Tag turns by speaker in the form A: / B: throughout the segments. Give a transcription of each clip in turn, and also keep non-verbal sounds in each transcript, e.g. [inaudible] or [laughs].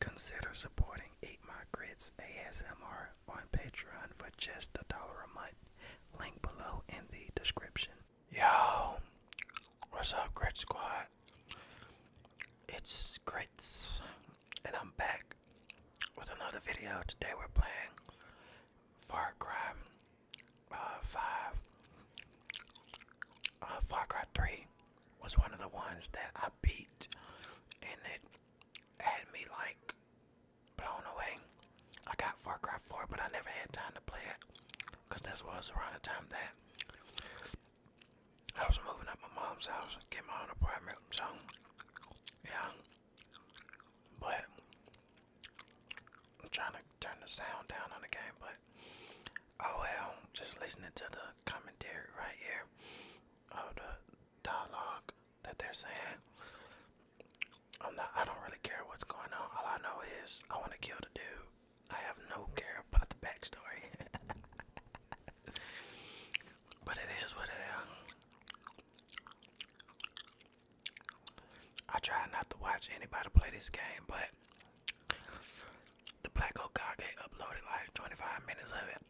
A: Consider supporting Eat My Grits ASMR on Patreon for just a dollar a month. Link below in the description. Yo, what's up, Grit Squad? It's Grits, and I'm back with another video. Today we're playing Far Cry uh, 5, uh, Far Cry 3 was one of the ones that I beat, and it had me like blown away. I got Far Cry 4, but I never had time to play it because this was around the time that I was moving up my mom's house and get my own apartment. So, yeah. But I'm trying to turn the sound down on the game, but oh well, just listening to the commentary right here of oh, the dialogue that they're saying. I'm not I don't really care what's going on. All I know is I wanna kill the dude. I have no care about the backstory. [laughs] but it is what it is. I try not to watch anybody play this game, but the Black Okage uploaded like 25 minutes of it.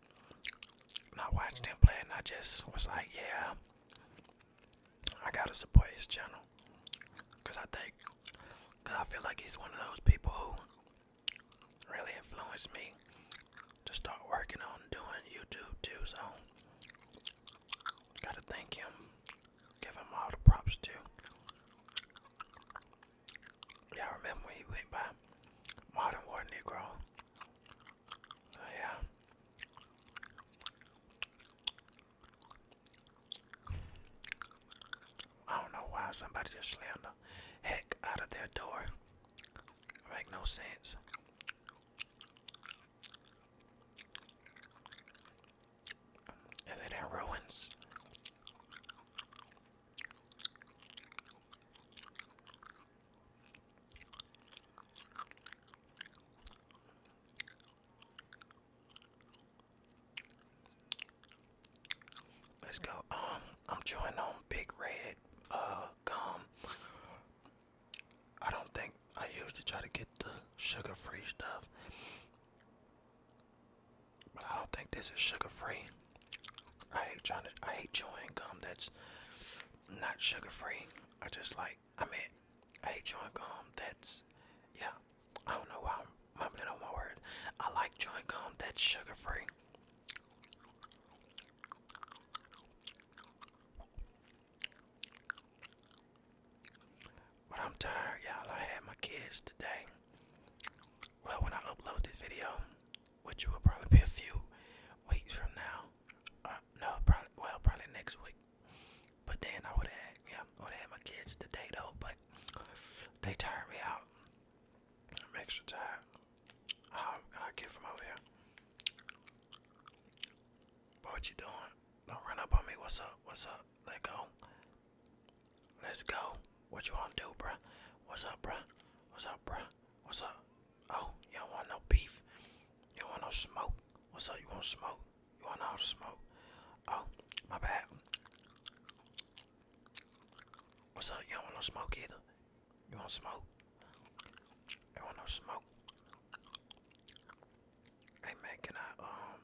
A: I watched him play, and I just was like, yeah, I gotta support his channel. Because I think, because I feel like he's one of those people who really influenced me to start working on doing YouTube too. So Gotta thank him. Give him all the props too. Y'all remember when he went by Modern War Negro? Oh, yeah. I don't know why somebody just slammed the heck out of their door. Make no sense. Is it in ruins? Let's go. Um, I'm chewing on big red uh gum. I don't think I used to try to get the sugar free stuff, but I don't think this is sugar free. I hate trying to, I hate chewing gum that's not sugar free. I just like, I mean, I hate chewing gum that's, yeah, I don't know why I'm mumbling on my words. I like chewing gum that's sugar free. But I'm tired, y'all. I had my kids today. Well, when I upload this video, which will probably be a few weeks from now, uh, no, probably well, probably next week. But then I would have, yeah, would have my kids today though. But they tired me out. I'm extra tired. i get from over here. But what you doing? Don't run up on me. What's up? What's up? Let go. Let's go. What you want to do, bruh? What's up, bruh? What's up, bruh? What's up? Oh, you don't want no beef. You don't want no smoke. What's up? You want smoke? You want all the smoke? Oh, my bad. What's up? You don't want no smoke either. You want smoke? I want no smoke. Hey man, can I um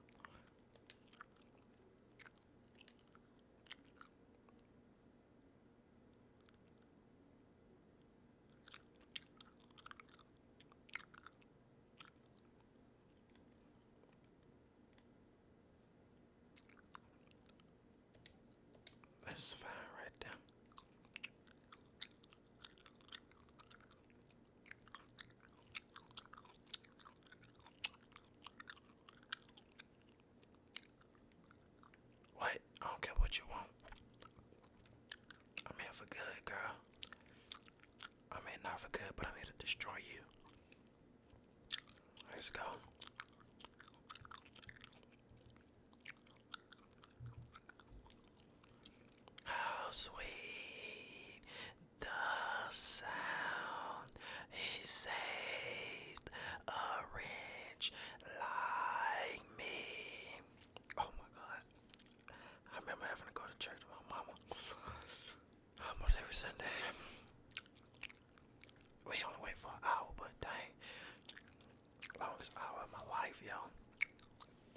A: that's fine right there. What? I don't care what you want. I'm here for good, girl. I mean, not for good, but I'm here to destroy you. Let's go. How sweet the sound he saved a rich like me. Oh my god. I remember having to go to church with my mama almost every Sunday. We only went for an hour, but dang, longest hour of my life, yo.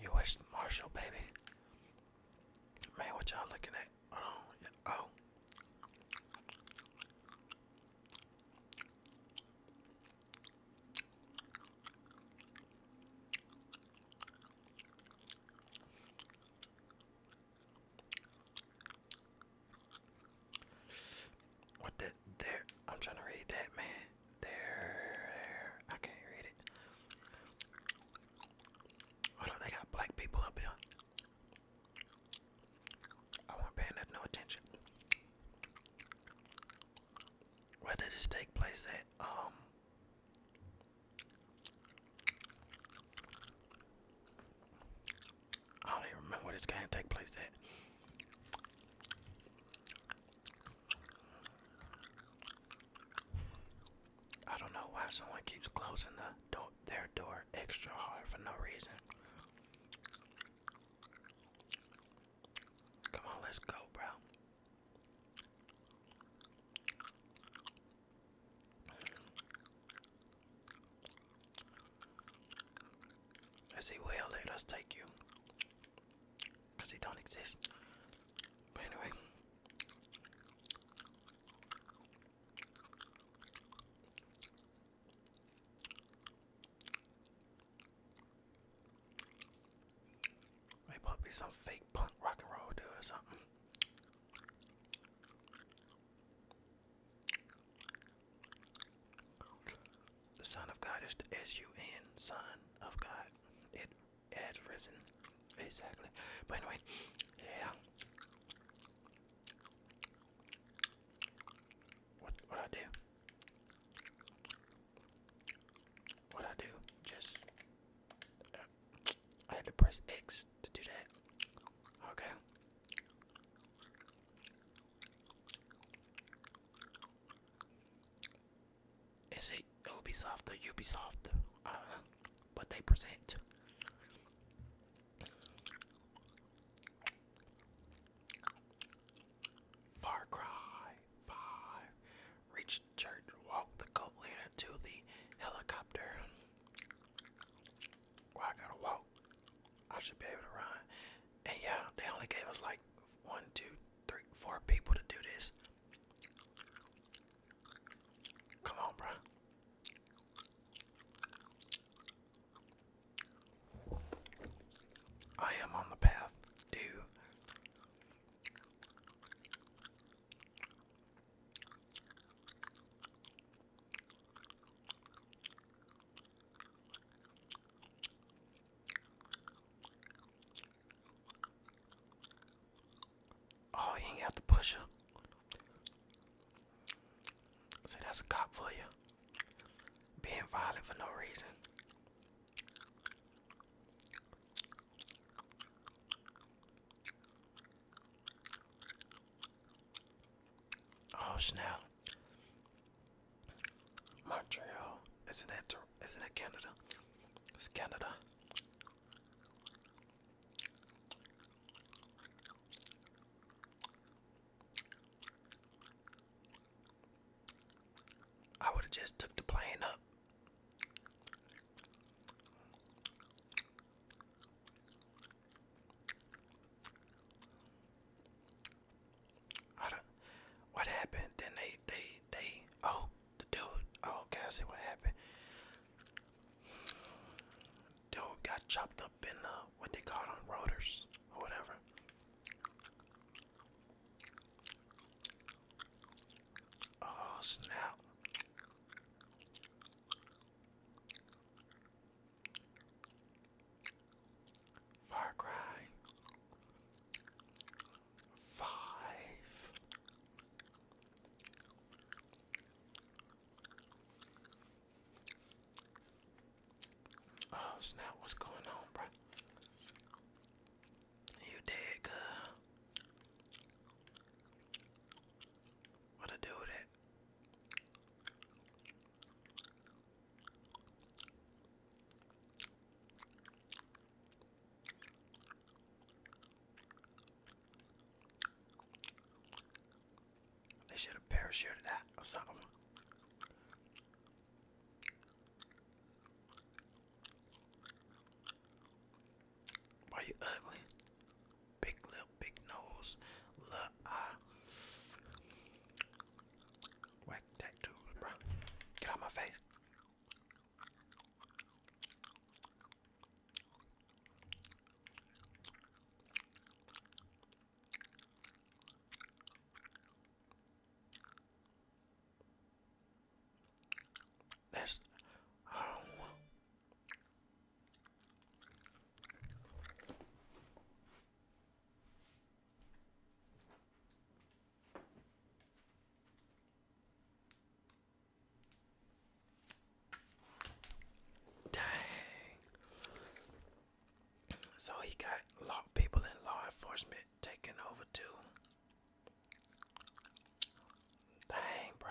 A: You wish Marshall, baby. Man, what y'all looking at? Hold Oh. What the there? I'm trying to read that, man. There, I can't read it. Hold on, they got black people up here. I won't pay enough no attention. Where does this take place at? Um, I don't even remember where this game take place at. I don't know why someone keeps closing the door, their door extra hard for no reason. Come on, let's go, bro. I say, well, let us take you. Because don't exist. But anyway. They probably some fake punk rock and roll dude or something. The Son of God is the S U N, Son of God. It has risen. Exactly. But anyway, yeah. What what I do? What I do? Just uh, I had to press X to do that. Okay. Is it Ubisoft or Ubisoft? I don't know. But they present. Far Cry 5. Reach church, walk the goat to the helicopter. I gotta walk. I should be able to run. And yeah, they only gave us like one, two, three, four people to do this. Come on, bro. I am on the path, dude. Oh, you ain't have to push her. See, that's a cop for you. Being violent for no reason. Oh snap! Montreal, isn't that isn't that Canada? It's Canada. I would have just took the plane up. I don't, what happened? Then they, they, they, oh, the dude, oh, okay, I see what happened. Dude got chopped up in the, uh, what they call them, rotors, or whatever. Oh, snap. Far Cry Five. Oh snap! What's going on, bro? You dead, girl? What to do with it? They should have parachuted that or something. Why you ugly? big lip, big nose, little eye. Whack tattoos, bro. Get out my face. That's Dang. So he got a people in law enforcement taking over too. Dang, bro.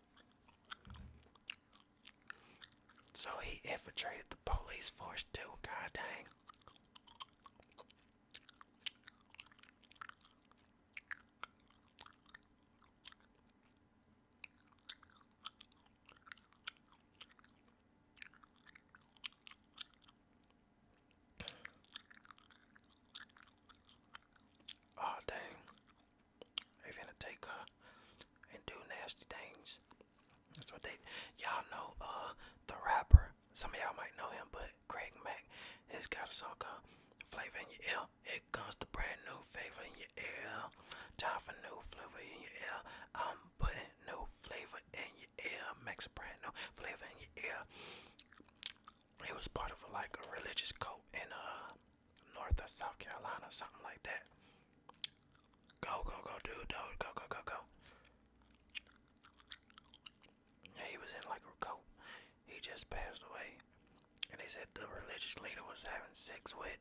A: So he infiltrated the police force too, god dang. Oh, dang. They finna take her and do nasty things. That's what they. Y'all know uh the rapper. Some of y'all might know him, but Craig Mack has got a song called "Flavor in Your Ear." Here comes the brand new flavor in your ear. Time for new flavor in your ear. I'm putting new flavor in your ear. Max a brand new flavor in your ear. It was part of a, like a religious cult in uh North of South Carolina, something like that. Go, go, go, dude, dude, go, go, go, go. he was in like a coat. He just passed away. And they said the religious leader was having sex with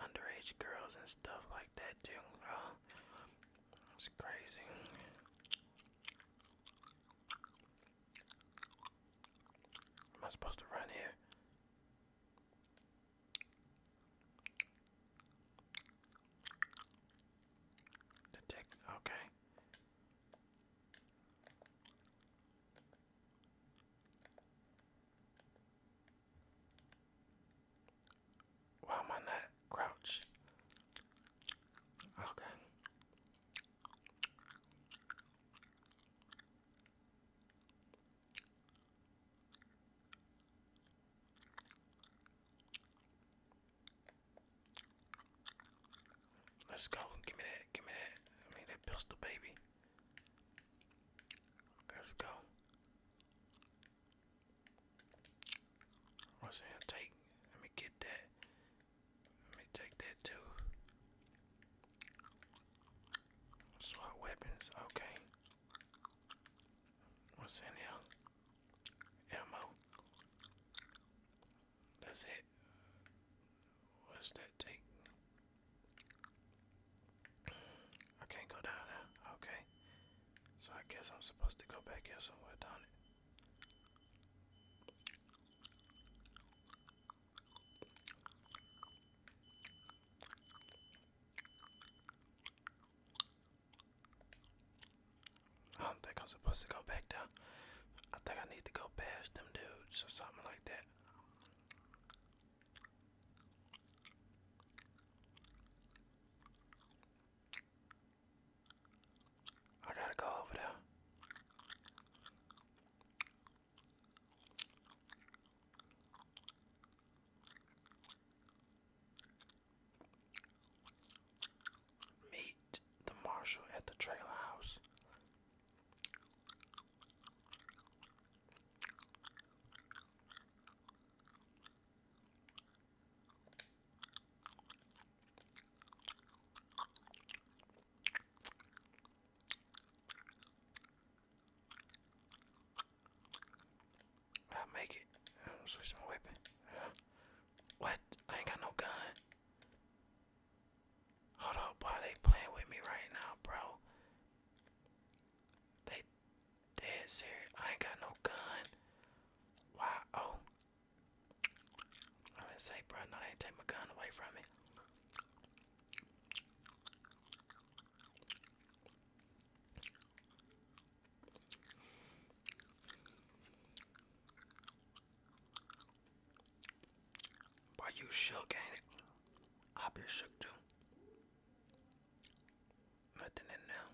A: underage girls and stuff like that, too. it's oh, crazy. Am I supposed to run here? Detect. Okay. Why am I not crouch? Okay. Let's go. Give me that. Give me that. I mean that pistol, baby. Let's go. What's in take? Let me get that. Let me take that too. SWAT weapons, okay. What's in here? Ammo. That's it. What's that take? I can't go down there. Okay. So I guess I'm supposed to go back here somewhere, down it. I don't think I'm supposed to go back down. I think I need to go past them dudes or something like that. I gotta go over there. Meet the marshal at the trailer house. I'll make it. I'll switch my weapon. what? I ain't got no gun. Hold up, boy. They playing with me right now, bro. They dead serious. I ain't got no gun. Why? Oh. I didn't bro. No, they ain't take my gun away from me. But you shook, ain't it? I be shook too. Nothing in there.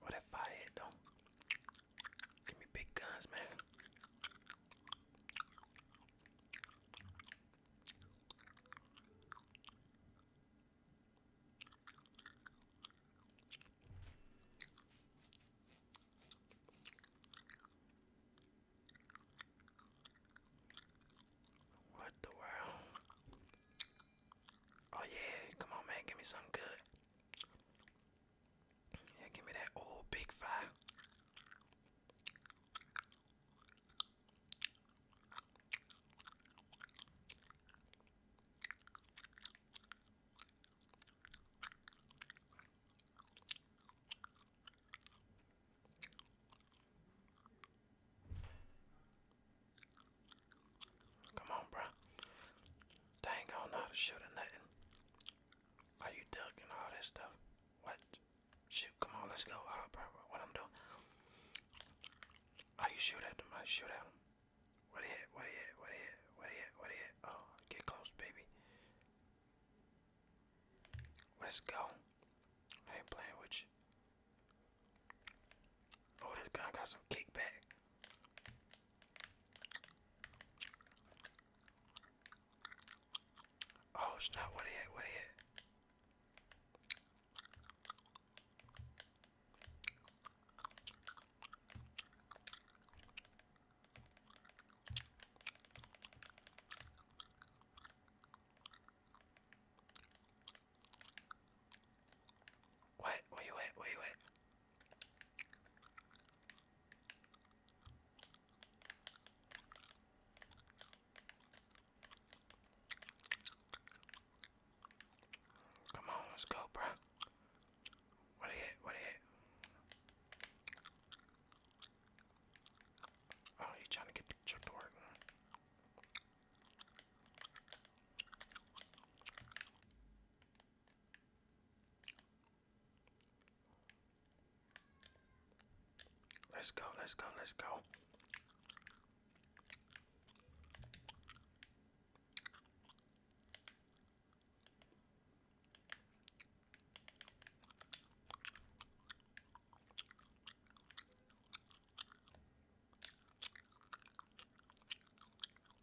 A: What oh, if I hit though? Give me big guns, man. What the world? Oh yeah, come on man, give me some good. Yeah, give me that old big fire. Come on, bruh. Dang, I don't know how nothing. Why you ducking all that stuff? What? Shoot, come on, let's go. what I'm doing. Oh, you shoot at I shoot What hit? What hit? What hit? What hit? What hit? Oh, get close, baby. Let's go. I ain't playing with you. Oh, this gun got some kickback. Oh snap, what he hit, what he hit. What? Where you at? Come on, let's go, bro. What hit, what hit. Oh, you trying to get the trick Let's go, let's go, let's go.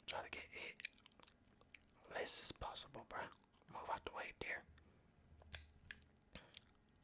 A: Try to get hit. Less is possible, bruh. Move out the way, dear.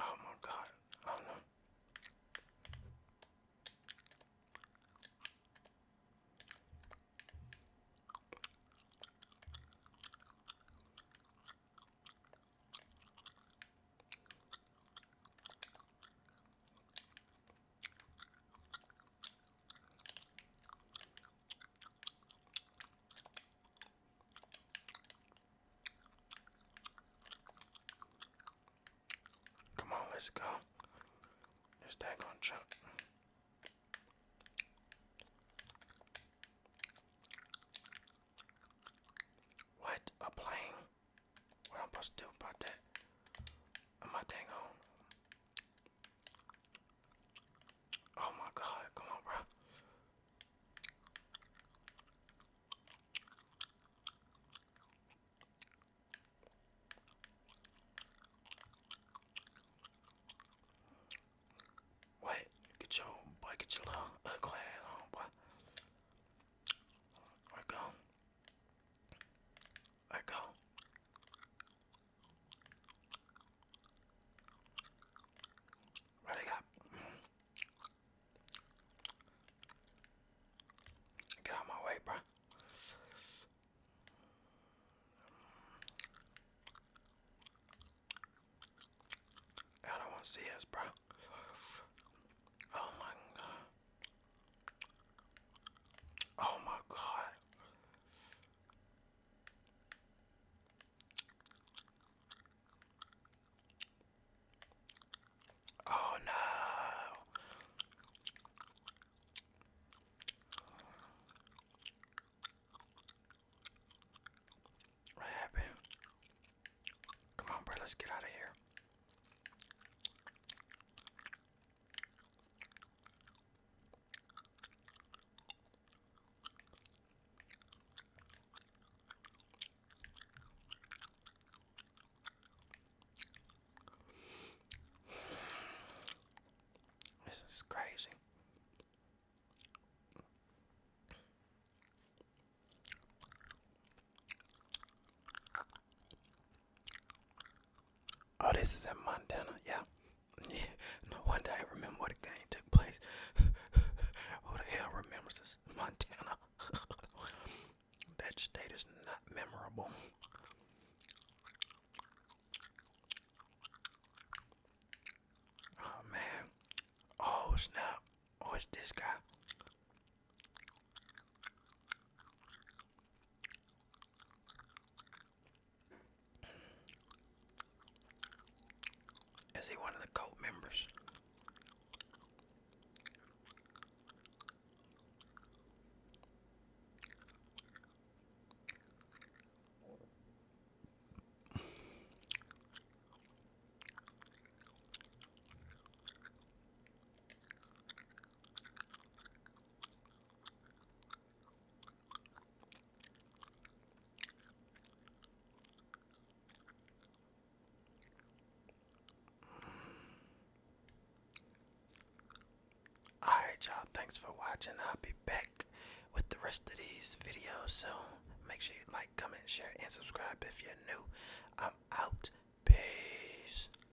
A: Oh my god, I oh, don't know. Come on, let's go. This daggone truck. What? A plane? What I'm supposed to do about that? Am I on? Oh my god, come on, bro. Wait, get your boy, get your little ugly ass on, boy. There we go. Let go. Ready up. Get out my way, bro. I don't want to see us, bro. Oh my god. Oh my God. Oh no. What happened? Come on, bro, let's get out of here. This is crazy. Oh, this is in Montana. Yeah. [laughs] No wonder I remember where the game took place. [laughs] Who the hell remembers this? Montana. [laughs] that state is not memorable. Oh man. Oh snap. Oh, it's this guy. Is he one of the cult members? Alright, you thanks for watching. I'll be back with the rest of these videos soon. Make sure you like, comment, share, and subscribe if you're new. I'm out. Peace.